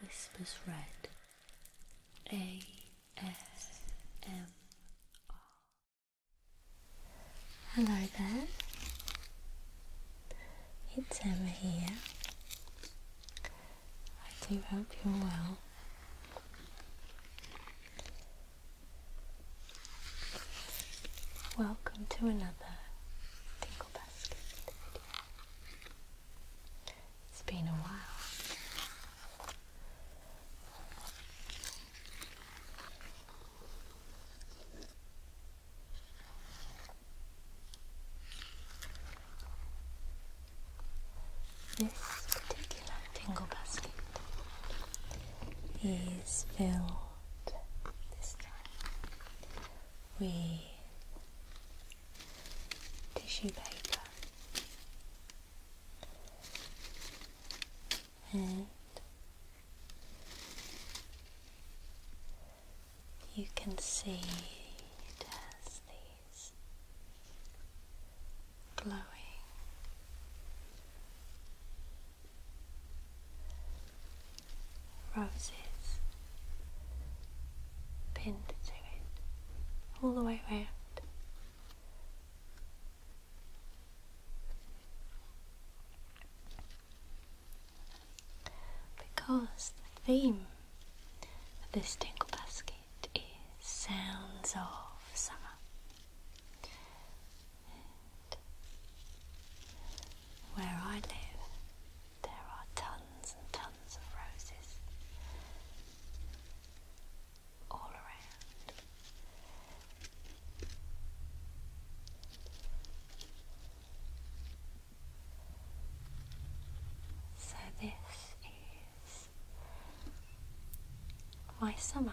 Whispers Red A S M R. Hello there, it's Emma here. I do hope you're well. Welcome to another Tinkle video. It's been a while. This particular tingle basket is filled this time with tissue paper and you can see it has these glowing roses pinned to it all the way round. Because the theme of this dingle basket is sounds of summer. where I live, there are tons and tons of roses all around. So, this is my summer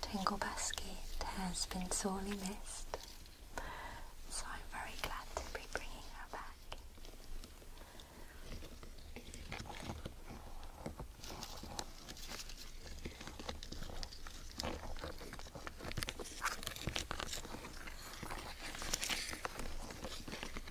Tingle Basket has been sorely missed, so I'm very glad to be bringing her back.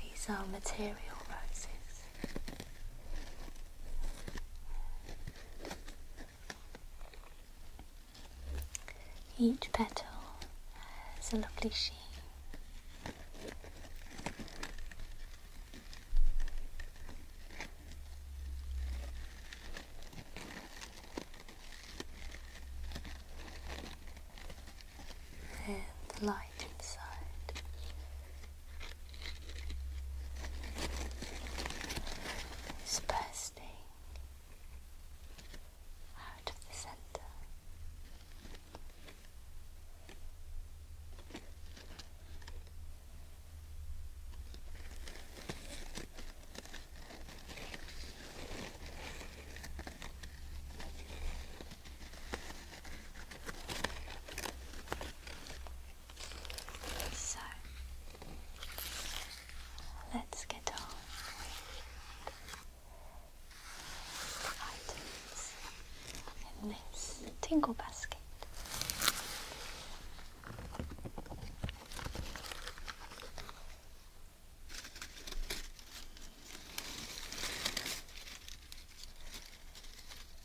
These are material roses. Each petal has a lovely sheen and the light inside. is bursting out of the center. So let's get on with items in this tingle basket.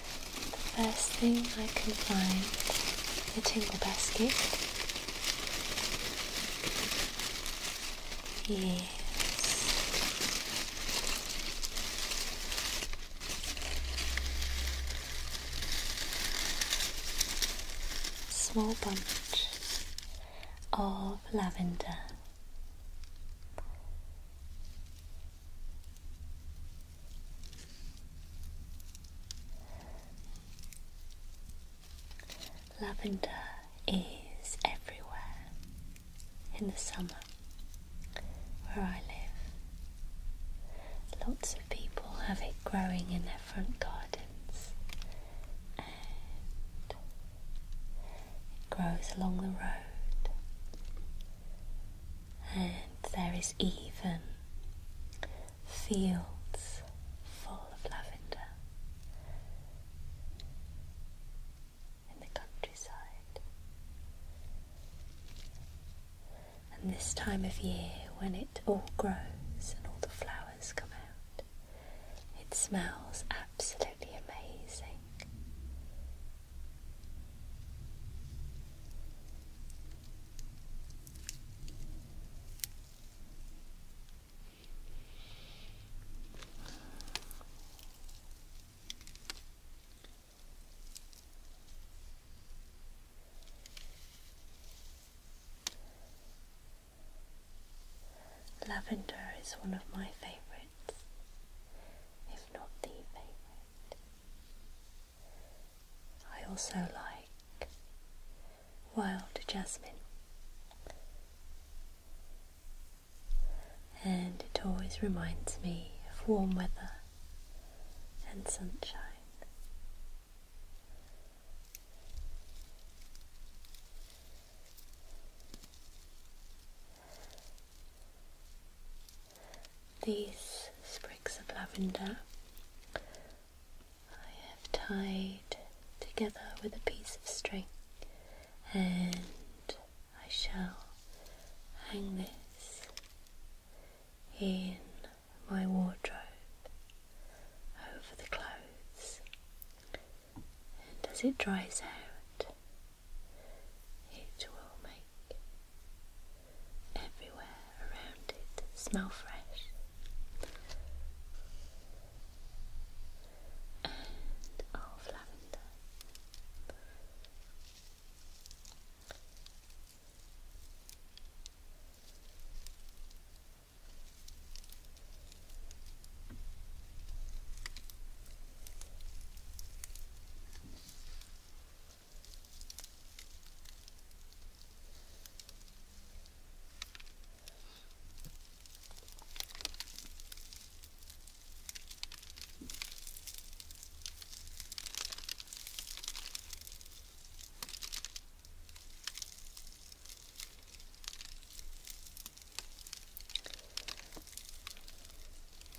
the first thing I can find fitting tingle basket. Yes. Small bunch of lavender. Lavender is everywhere in the summer where I live. Lots of people have it growing in their front gardens and it grows along the road and there is even fields full of lavender in the countryside. And this time of year, when it all grows and all the flowers come out, it smells absolutely amazing. Lavender is one of my favorites, if not the favorite. I also like wild jasmine, and it always reminds me of warm weather and sunshine these sprigs of lavender I have tied together with a piece of string and I shall hang this in my wardrobe over the clothes and as it dries out it will make Everywhere around it smell fresh. And of lavender.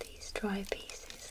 These dry pieces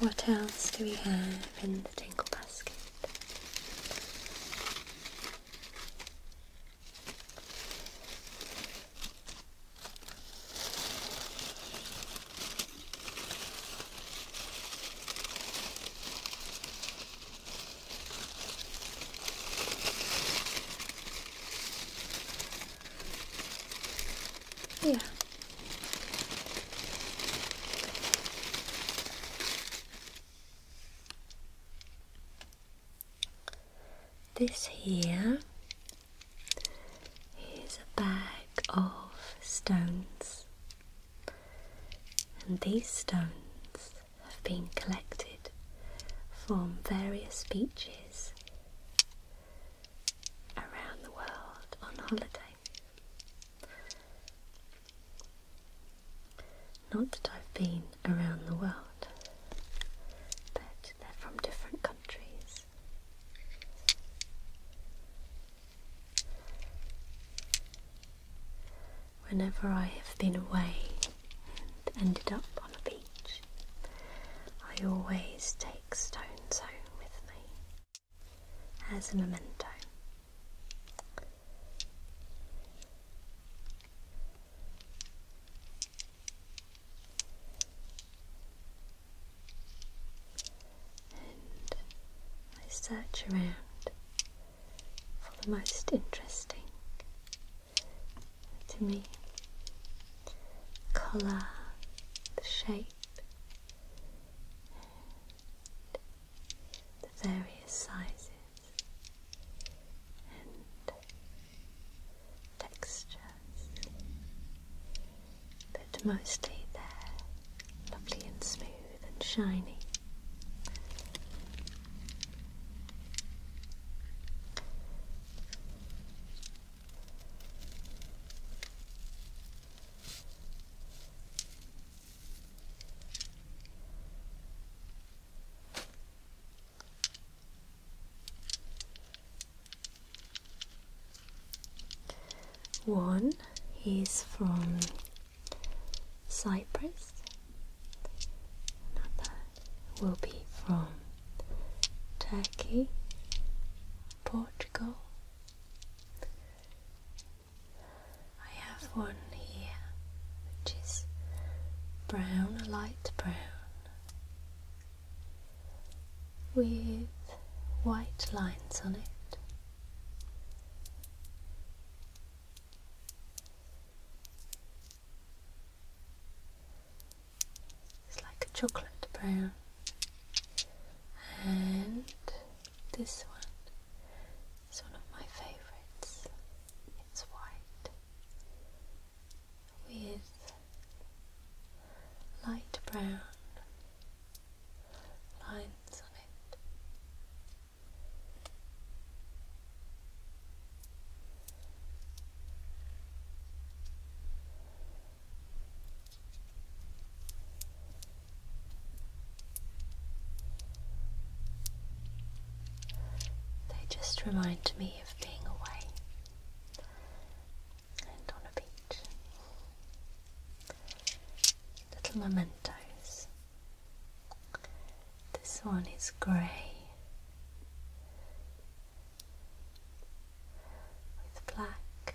What else do we have in the tingle basket? Yeah. This here is a bag of stones, and these stones have been collected from various beaches around the world on holiday. Not that I've been around the world, but they're from different countries. Whenever I have been away and ended up on a beach, I always take stones home with me as a memento. And I search around for the most interesting to me colour, the shape, the various sizes and textures, but mostly they're lovely and smooth and shiny. One is from Cyprus, another will be from Turkey, Portugal, I have one here which is brown, a light brown, with white lines on it. It's like a chocolate brown and this one is one of my favorites. It's white with light brown lines on it. They just remind me of being away and on a beach. Little mementos. This one is grey with black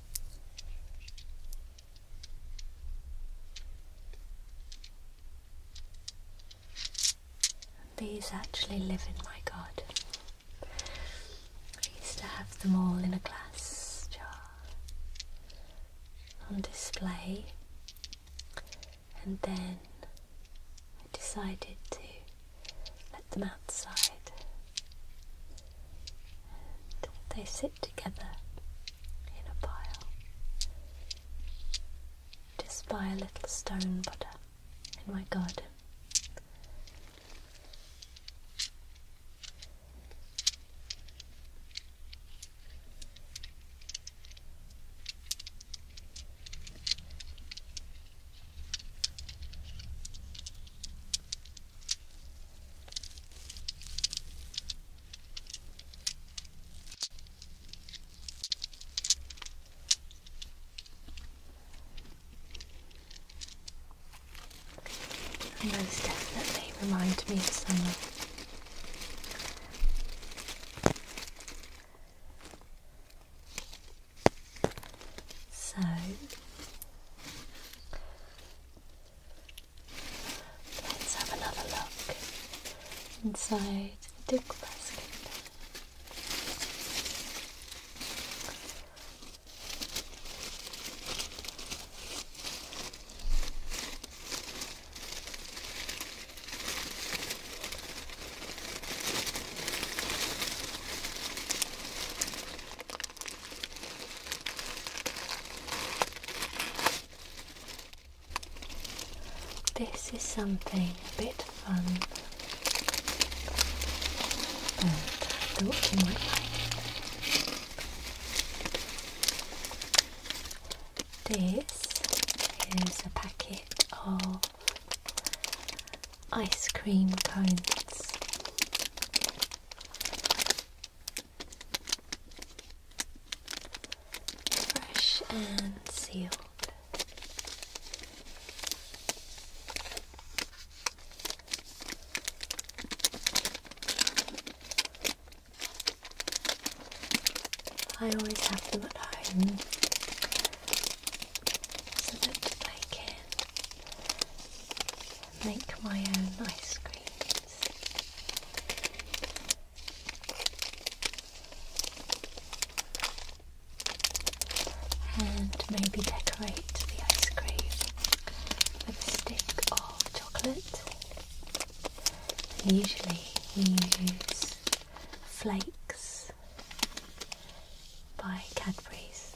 These actually live in my god. I used to have them all in a glass jar on display, and then I decided to let them outside, and they sit together in a pile just by a little stone butter, in my garden. Those definitely remind me of someone. So let's have another look inside the duck basket. This is something a bit fun, I thought you might like This is a packet of ice cream cones. Fresh and sealed. I always have them at home so that I can make my own ice creams. And maybe decorate the ice cream with a stick of chocolate. usually we use flakes by Cadbury's.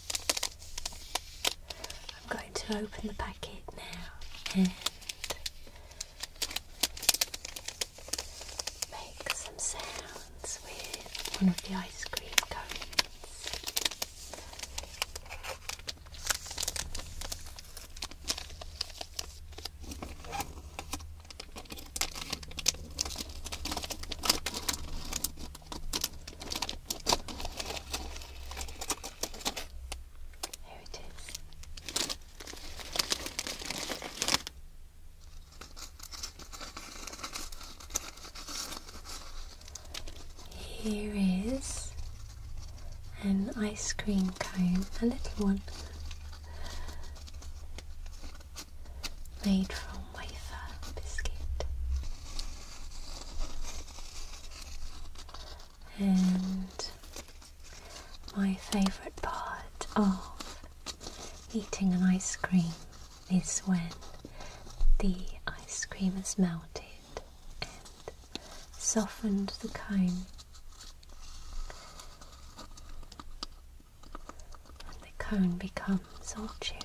I'm going to open the packet now and make some sounds with one of the ice cream cones. Here it is. Here is an ice cream cone, a little one made from wafer biscuit. And my favourite part of eating an ice cream is when the ice cream is melted and softened the cone. And the cone becomes all chewy.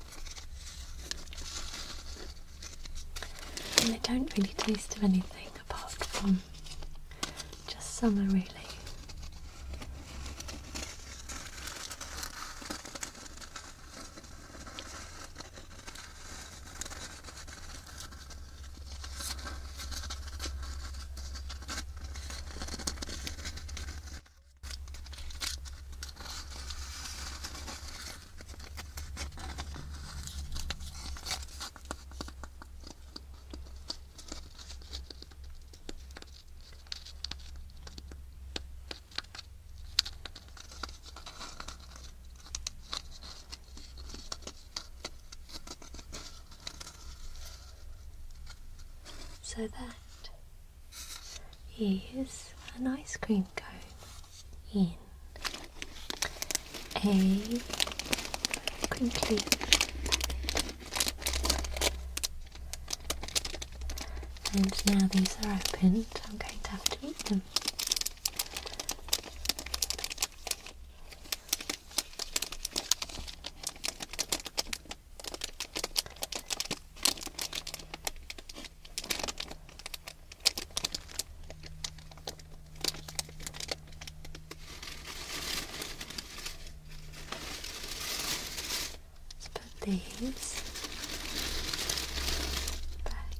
And they don't really taste of anything apart from just summer, really. So that is an ice cream cone in a crinkly And now these are opened, I'm going to have to eat them. Let's put these back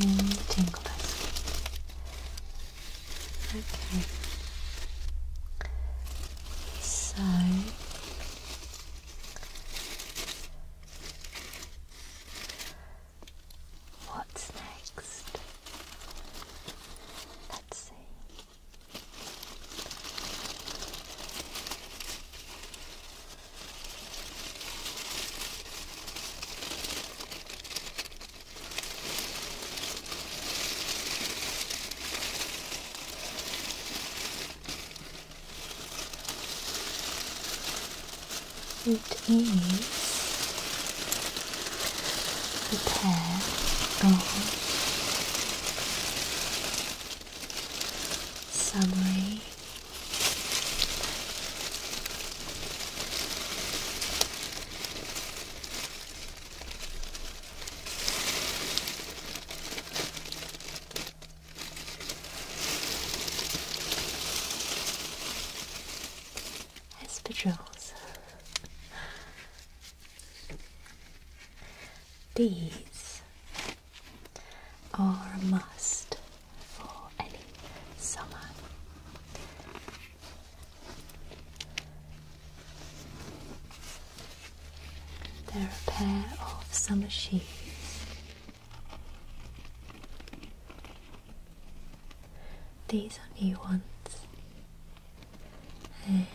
in the tingle basket. Okay. So What's next? Let's see. It is a pair of subway Espadrilles. These are a must for any summer. They're a pair of summer shoes. These are new ones, and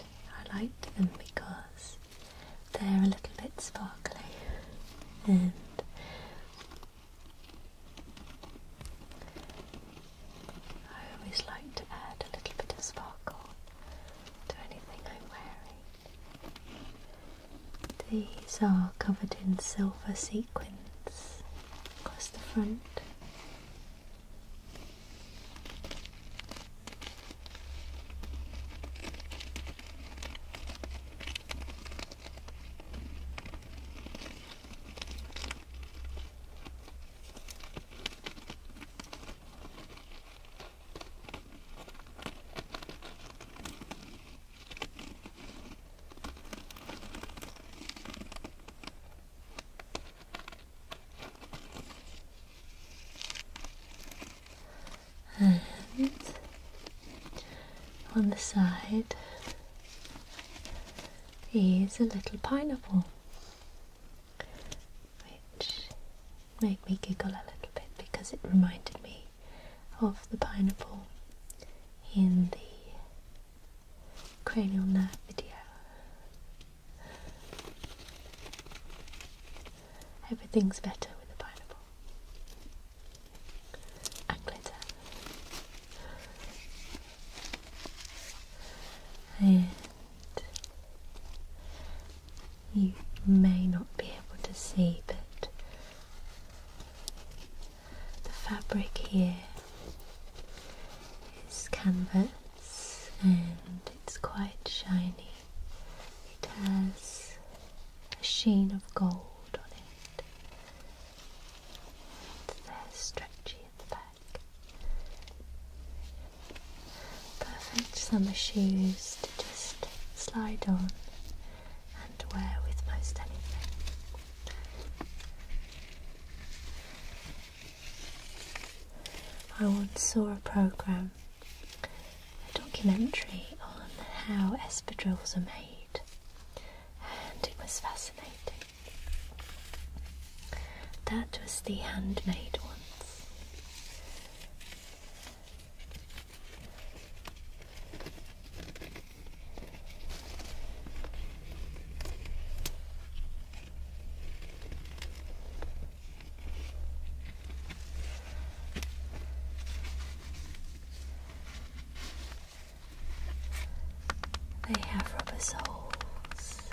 I like them because they're a little bit sparkly and I always like to add a little bit of sparkle to anything I'm wearing. These are covered in silver sequins across the front. And on the side is a little pineapple which made me giggle a little bit because it reminded me of the pineapple in the cranial nerve video. Everything's better with a pineapple and glitter. And you may not be able to see, but the fabric here is canvas and it's quite shiny. It has a sheen of gold on it. And they're stretchy at the back. Perfect summer shoes to just slide on and wear with most anything. I once saw a programme, a documentary on how espadrilles are made, and it was fascinating. That was the handmade ones. They have rubber soles.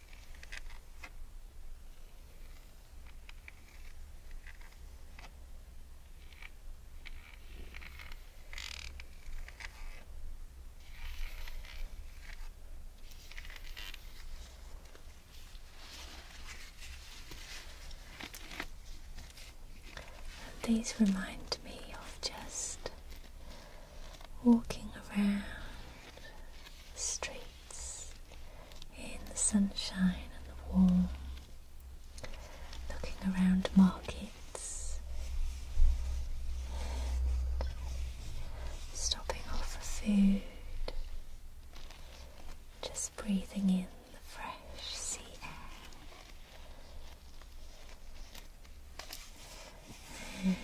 these remind me of just walking around the street in the sunshine and the warm, looking around markets stopping off for food, just breathing in the fresh sea air.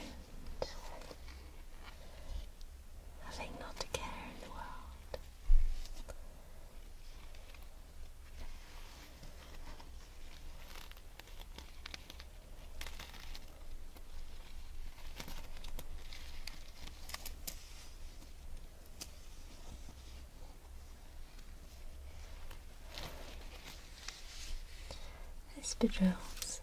Having not a care in the world. This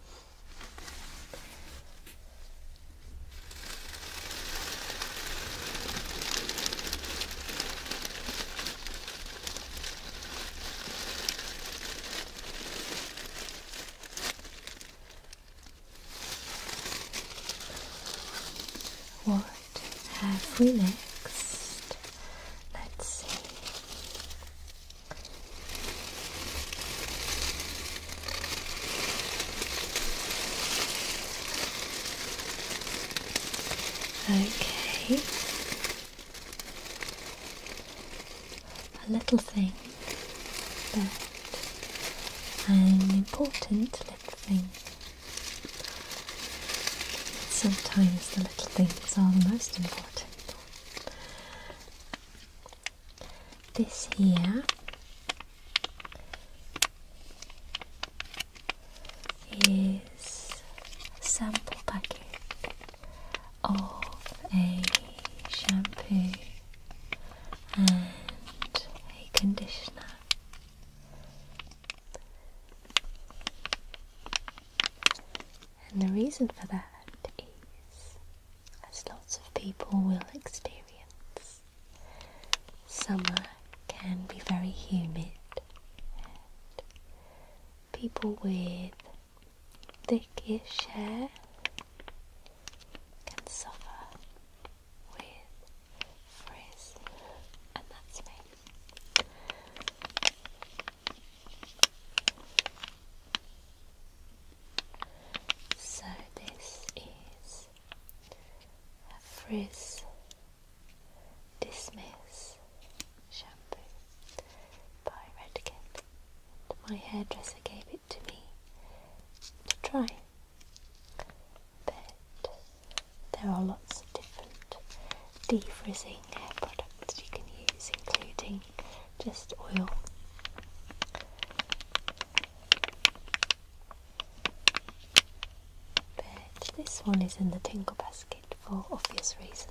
what have we next? Let's see. Okay. A little thing, but an important little thing. Sometimes the little things are the most important this here is a sample packet of a shampoo and a conditioner. And the reason for that is as lots of people will experience. Summer can be very humid, and people with thickish hair can suffer with frizz, and that's me. So this is a frizz dismiss shampoo by Redken. My hairdresser gave it to me to try. But there are lots of different defrizzing hair products you can use, including just oil. But this one is in the tingle basket for obvious reasons.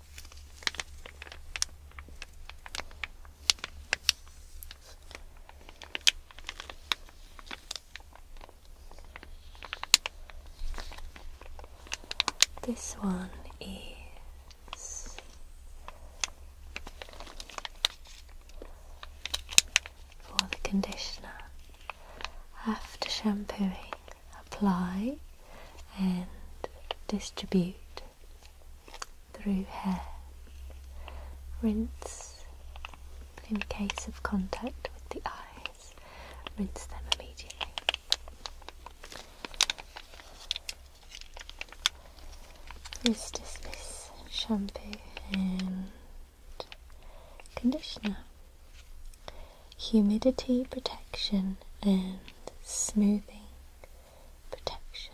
This one is for the conditioner. After shampooing, apply and distribute through hair. Rinse in case of contact with the eyes, rinse them immediately. This shampoo and conditioner. Humidity protection and smoothing protection.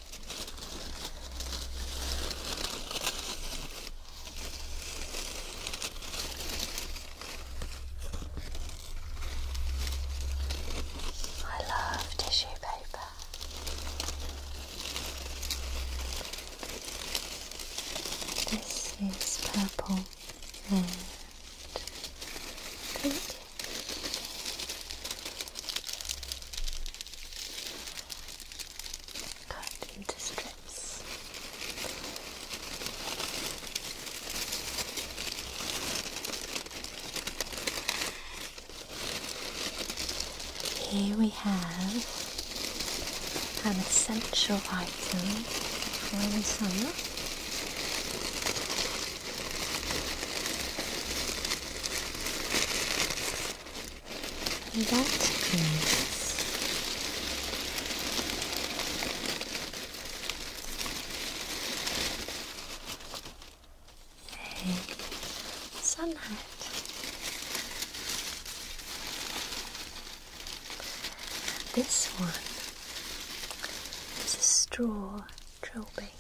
I love tissue paper. This is purple and pink. Cut into strips. Here we have an essential item for the summer. And that is a sunlight. This one is a straw trilby.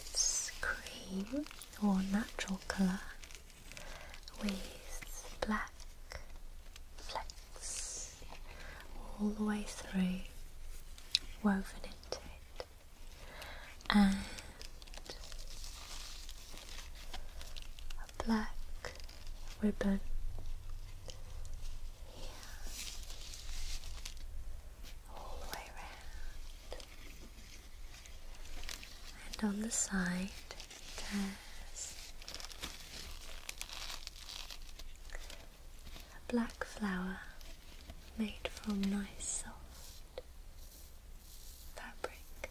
It's cream or natural color with black flecks all the way through, woven into it, and black ribbon here, all the way around. And on the side, there's a black flower made from nice soft fabric.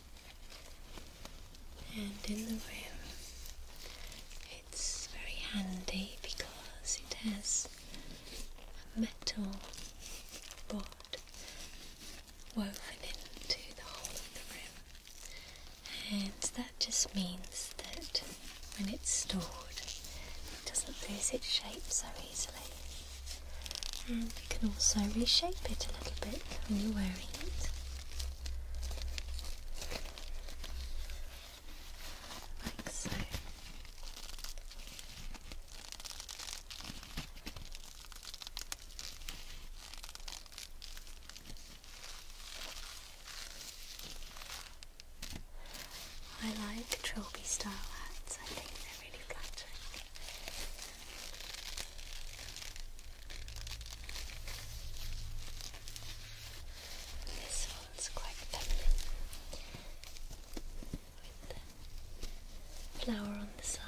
and in the rim it's very handy because it has a metal rod woven into the whole of the rim and that just means that when it's stored it doesn't lose its shape so easily and you can also reshape it a little bit when you're wearing it I like trilby style hats, I think they're really flattering. This one's quite feminine with the flower on the side.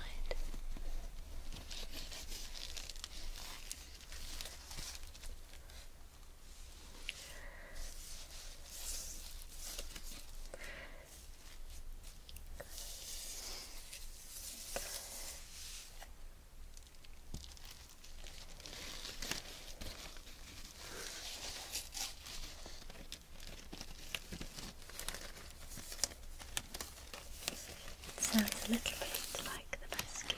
It sounds a little bit like the basket.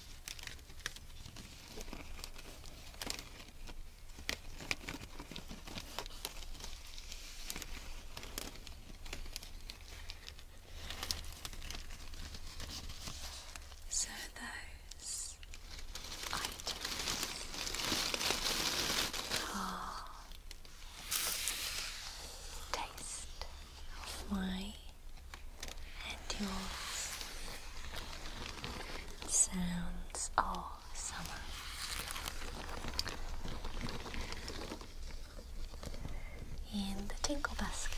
So those items are taste of my and yours sounds all summer. In the tinkle basket.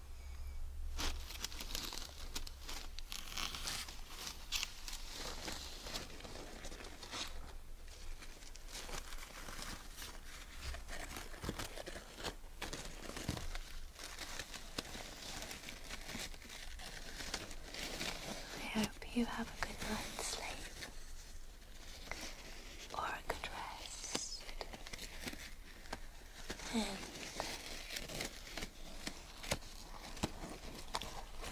I hope you have a good night's sleep or a good rest.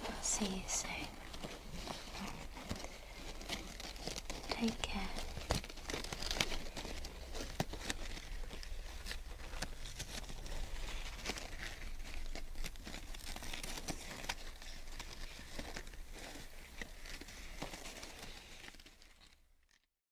I'll see you soon. Take care.